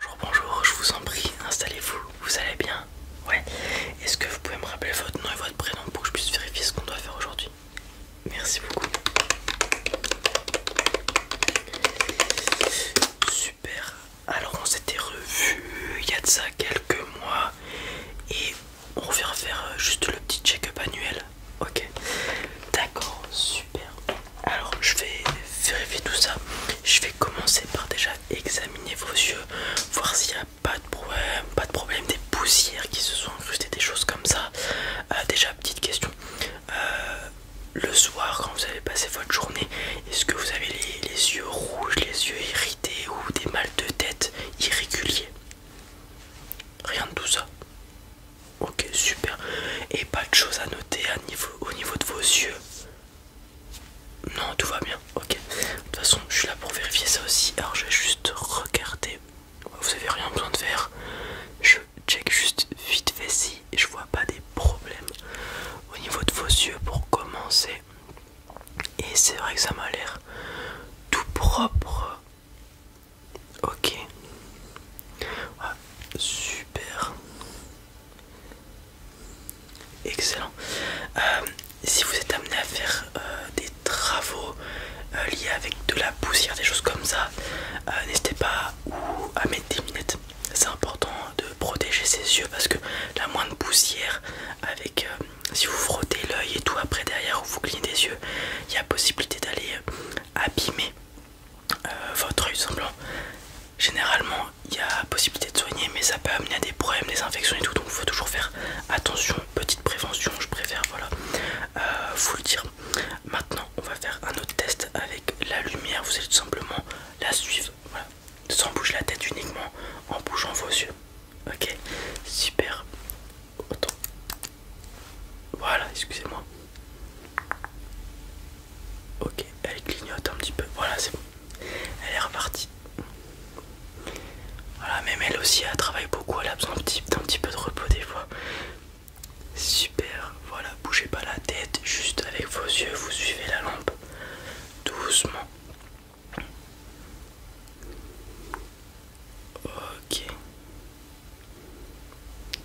Bonjour, bonjour, je vous en prie, installez-vous, vous allez bien Ouais. Est-ce que vous pouvez me rappeler votre nom et votre prénom pour que je puisse vérifier ce qu'on doit faire aujourd'hui Merci beaucoup. Super. Alors on s'était revus il y a de ça quelques mois et on revient faire euh, juste le petit check-up annuel. Ok. D'accord, super. Alors je vais vérifier tout ça. Je vais commencer par déjà examiner vos yeux, voir s'il n'y a pas de problème, pas de problème, des poussières qui se sont incrustées, des choses comme ça. Euh, déjà petite question. Euh, le soir quand vous avez passé votre journée, est-ce que vous avez les, yeux rouges, les yeux irrités ou des mal de tête irréguliers Rien de tout ça. Ok super. Et pas de choses à noter au niveau de vos yeux. Non, tout va bien, ok. De toute façon, je suis là pour vérifier ça aussi. Alors, je vais juste regarder. Vous avez rien besoin de faire. Je check juste vite fait si je vois pas des problèmes au niveau de vos yeux pour commencer. Et c'est vrai que ça m'a l'air tout propre. Ok. Ah, super. Excellent. Euh, si vous êtes amené à faire euh, des travaux euh, liés avec de la poussière, des choses comme ça, n'hésitez pas à mettre des lunettes. C'est important de protéger ses yeux parce que la moindre poussière, avec si vous frottez l'œil et tout après derrière ou vous clignez des yeux, il y a possibilité d'aller abîmer euh, votre oeil, hein, semblant. Généralement, il y a possibilité de soigner, mais ça peut amener à des problèmes, des infections et tout. Donc, il faut toujours faire attention. Petite prévention, je préfère, voilà, euh, vous le dire. Maintenant, on va faire un autre test avec la lumière. Vous allez tout simplement la suivre, voilà, sans bouger la tête uniquement, en bougeant vos yeux. Ok, super. Voilà, excusez-moi. Ok, elle clignote un petit peu. Voilà, c'est bon. Elle est repartie. Voilà, même elle aussi, elle travaille beaucoup. Elle a besoin d'un petit, peu de repos des fois. Super, voilà, bougez pas la tête, juste avec vos yeux, vous suivez la lampe doucement. Ok.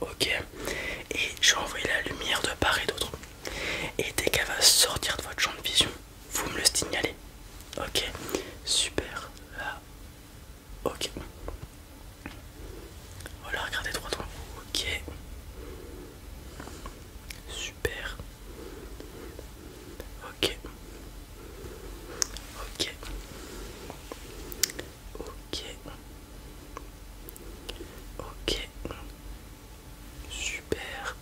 ok Et je vais envoyer la lumière de part et d'autre. Et dès qu'elle va sortir de votre champ de vision, vous me le signalez. Ok, super. Là, ok. Voilà, regardez droit devant vous. Ok, super. Ok, ok, ok. Ok, super.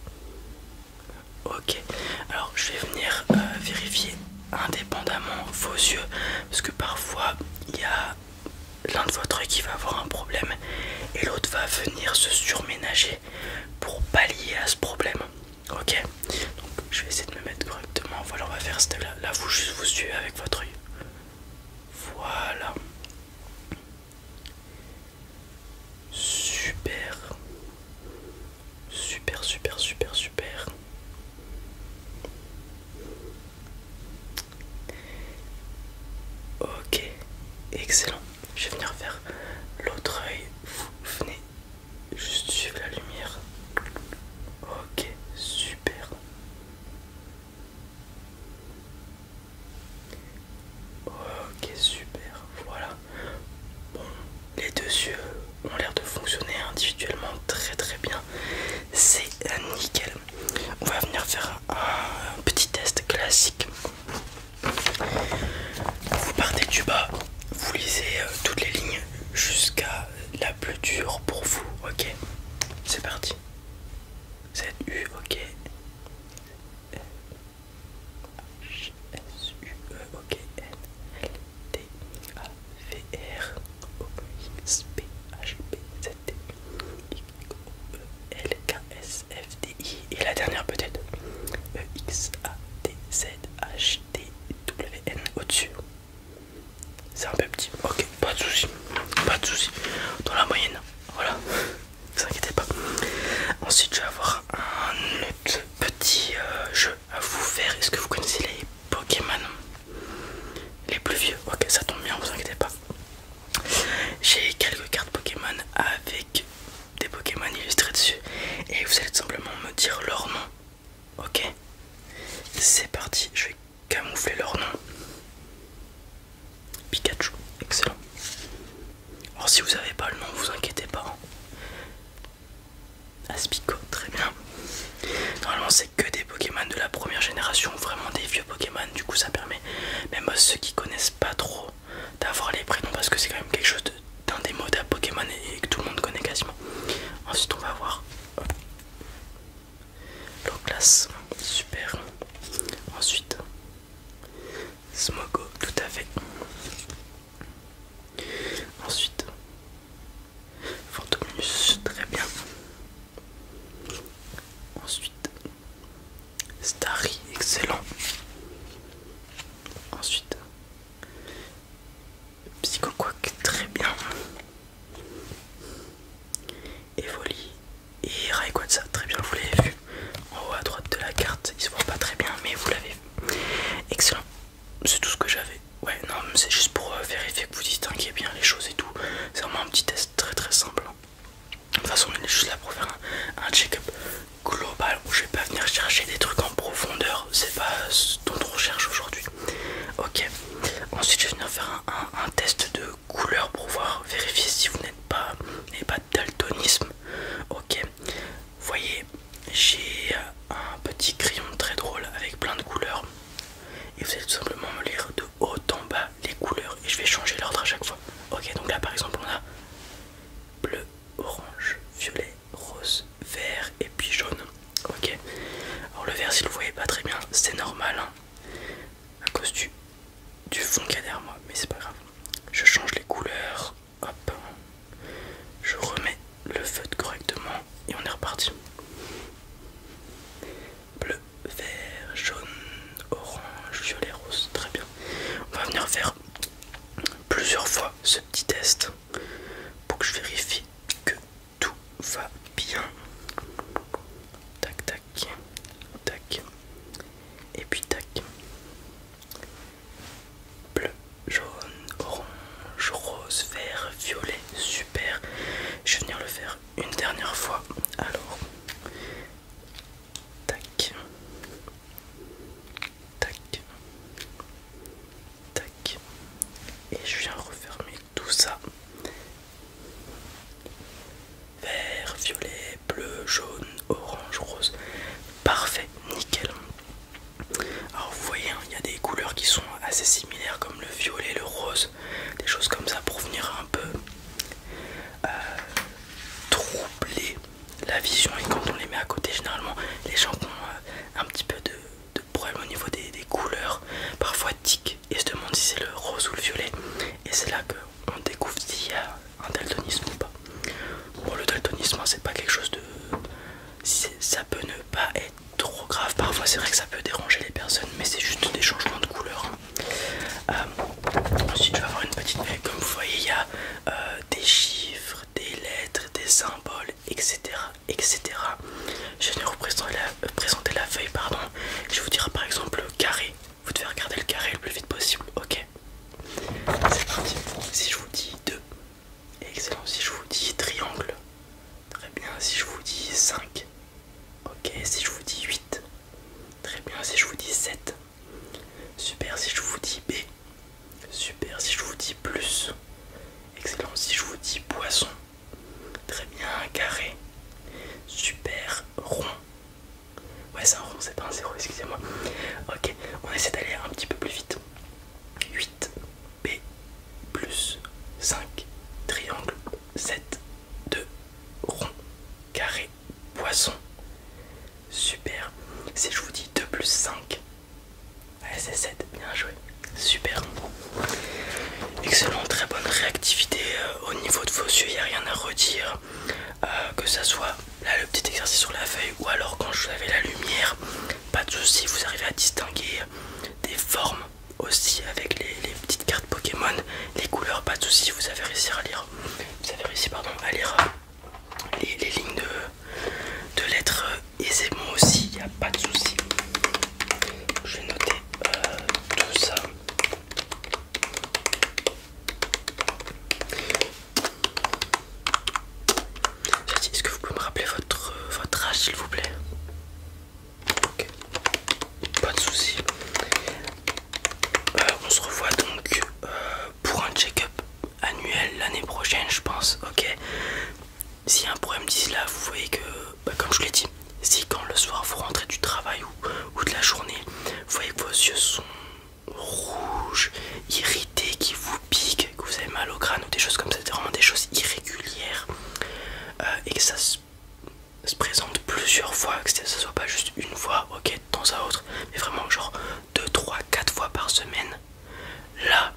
Ok, alors je vais venir euh, vérifier indépendamment vos yeux parce que parfois il y a l'un de votre qui va avoir un problème et l'autre va venir se surménager pour pallier à ce problème. Ok, donc je vais essayer de me mettre Demain, Voilà, on va faire cette Là, vous juste vous suivez avec votre œil. Voilà. Super. Super, super, super, super. Ok, excellent. Je vais venir faire l'autre œil. Vous venez juste suivre la lumière. Ok, super. Ok super, voilà. Bon, les deux yeux ont l'air de fonctionner individuellement très très bien. C'est nickel. On va venir faire un petit test classique. Vous partez du bas, vous lisez euh, toutes les lignes jusqu'à la plus dur pour vous, ok C'est parti. Z U ok. H S U E ok N L T A V R O X P H P Z T X O E L K S F D I et la dernière peut-être E X A T Z H T W N au-dessus. C'est un peu petit. Ok, pas de soucis. Pas de soucis. Dans la moyenne. Voilà. vous inquiétez pas. Ensuite, je vais avoir un autre petit euh, jeu à vous faire. Est-ce que vous connaissez les Pokémon Les plus vieux Ok, ça tombe bien, vous inquiétez pas. J'ai quelques cartes Pokémon avec des Pokémon illustrés dessus. Et vous allez tout simplement me dire leur nom. Ok, c'est parti, je vais camoufler leur nom. Pikachu, excellent. Alors si vous n'avez pas le nom, vous inquiétez pas. Hein. Aspico, très bien. Normalement c'est que des Pokémon de la première génération, vraiment des vieux Pokémon, du coup ça permet même ceux qui connaissent pas trop d'avoir les prénoms parce que c'est quand même quelque chose d'un des modèles Pokémon et que tout le monde connaît quasiment. Ensuite on va voir L'eau super. Ensuite, Smogo, tout à fait. Ensuite, Fantomus très bien. Ensuite, Starry, excellent. Ensuite, Psychoquack, très bien. Evoli et Rayquaza, très bien, vous l'avez vu en haut à droite de la carte. Il se voit pas très bien, mais vous l'avez vu. Excellent, c'est tout ce que j'avais. Ouais, non, c'est juste pour euh, vérifier que vous distinguez bien les choses et tout. C'est vraiment un petit test très très simple. Hein. De toute façon, on est juste là pour faire un, check-up global où je vais pas venir chercher des trucs en profondeur. C'est pas ce dont on recherche aujourd'hui. Ok, Ensuite, je vais venir faire un, test de couleurs pour voir, vérifier si vous n'êtes pas, pas daltonisme. Ok, voyez, j'ai un petit crayon très drôle avec plein de couleurs. Et vous allez tout simplement me lire de haut en bas les couleurs et je vais changer l'ordre à chaque fois. Ok, donc là par exemple, on a bleu, orange, violet, rose, vert et puis jaune. Ok. Alors le vert, si vous voyez pas très bien, c'est normal hein. à cause du, fond qu'il y a derrière moi, mais c'est pas grave. Je change les couleurs, hop, je remets le feutre correctement et on est reparti. Bleu, vert, jaune, orange, violet, rose, très bien. On va venir faire plusieurs fois ce petit test pour que je vérifie que tout va bien. Tac, tac, tac. Et puis tac. Bleu, jaune, orange, rose, vert, violet. Super. Je vais venir le faire une dernière fois. Alors. Tac. Tac. Tac et je viens refermer tout ça vert violet bleu jaune orange rose parfait nickel alors vous voyez hein, il y a des couleurs qui sont assez similaires comme le violet le rose des choses comme ça pour venir un peu euh, troubler la vision et quand on les met à côté généralement les gens qui ont euh, un petit peu de de problèmes au niveau des, couleurs, parfois tic et se demande si c'est le rose ou le violet. Et c'est là qu'on découvre s'il y a un daltonisme ou pas. Bon, le daltonisme, c'est pas quelque chose de. Ça peut ne pas être trop grave. Parfois, c'est vrai que ça peut déranger les personnes, mais c'est juste des changements de couleurs hein. euh, ensuite, je vais avoir une petite. Comme vous voyez, il y a euh, des chiffres, des lettres, des symboles, etc etc. Je vais vous euh, présenter la feuille, pardon. Je vous dirai par exemple carré. Vous devez regarder le carré le plus vite possible, ok C'est parti. Si je vous dis 2, excellent. Si je vous dis triangle, très bien. Si je vous dis 5, ok. Si je vous dis 8, très bien. Si je vous dis 7, super. Si je vous dis B, Super si je vous dis plus. Excellent si je vous dis poisson. Très bien, carré. Super rond. Ouais, c'est un rond, c'est pas un zéro, excusez-moi. Ok, on essaie d'aller un petit peu plus vite. 8 B plus 5 triangle 7 2 rond carré poisson. Super. Si je vous dis 2 plus 5, Allez, c'est 7, bien joué. Super. Excellent, très bonne réactivité euh, au niveau de vos yeux, il n'y a rien à redire. Euh, que ça soit là le petit exercice sur la feuille ou alors quand vous avez la lumière, pas de souci, vous arrivez à distinguer des formes aussi avec les, petites cartes Pokémon, les couleurs, pas de souci, vous avez réussi à lire. Vous avez réussi pardon à lire euh, les lignes de de l'être aisément euh, aussi, il n'y a pas de souci. Je vais noter euh, tout ça. Est-ce que vous pouvez me rappeler votre, euh, âge s'il vous plaît Ok, pas de souci. on se revoit donc pour un check-up annuel l'année prochaine, je pense. Ok. si un problème dit là, vous voyez que, bah, comme je l'ai dit, si quand le soir vous rentrez du travail ou, de la journée, vous voyez que vos yeux sont rouges, irrités, qui vous piquent, que vous avez mal au crâne ou des choses comme ça, c'est vraiment des choses irrégulières euh, et que ça se, présente plusieurs fois, que ce soit pas juste une fois, ok, de temps à autre, mais vraiment genre 2, trois quatre fois par semaine, là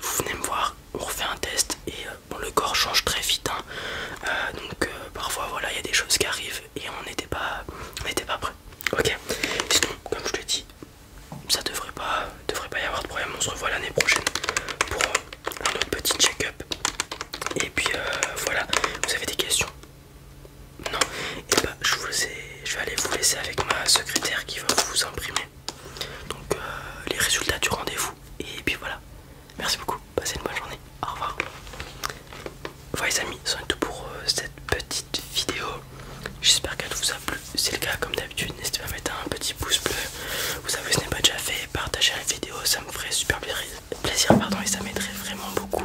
vous venez me voir, on refait un test et euh, le corps change très vite. Hein. Euh, donc euh, parfois voilà, il y a des choses qui arrivent et on n'était pas, prêts, pas prêt. Ok. Sinon, comme je l'ai dit, ça devrait pas, devrait pas y avoir de problème. On se revoit l'année prochaine pour un autre petit check-up. Et puis voilà, vous avez des questions Non Et eh bah ben, je je vais aller vous laisser avec ma secrétaire qui va vous imprimer donc euh, les résultats du rendez-vous. Et puis voilà. Merci beaucoup. Passez une bonne journée. Au revoir. Voilà les amis, c'est tout pour euh, cette petite vidéo. J'espère qu'elle vous a plu. Si c'est le cas, comme d'habitude, n'hésitez pas à mettre un petit pouce bleu. Vous savez, ce n'est pas déjà fait. Partager la vidéo, ça me ferait super plaisir pardon, et ça m'aiderait vraiment beaucoup.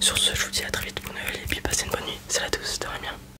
Sur ce, je vous dis à très vite pour nouvelle et puis passez une bonne nuit. Salut à tous, c'était bien.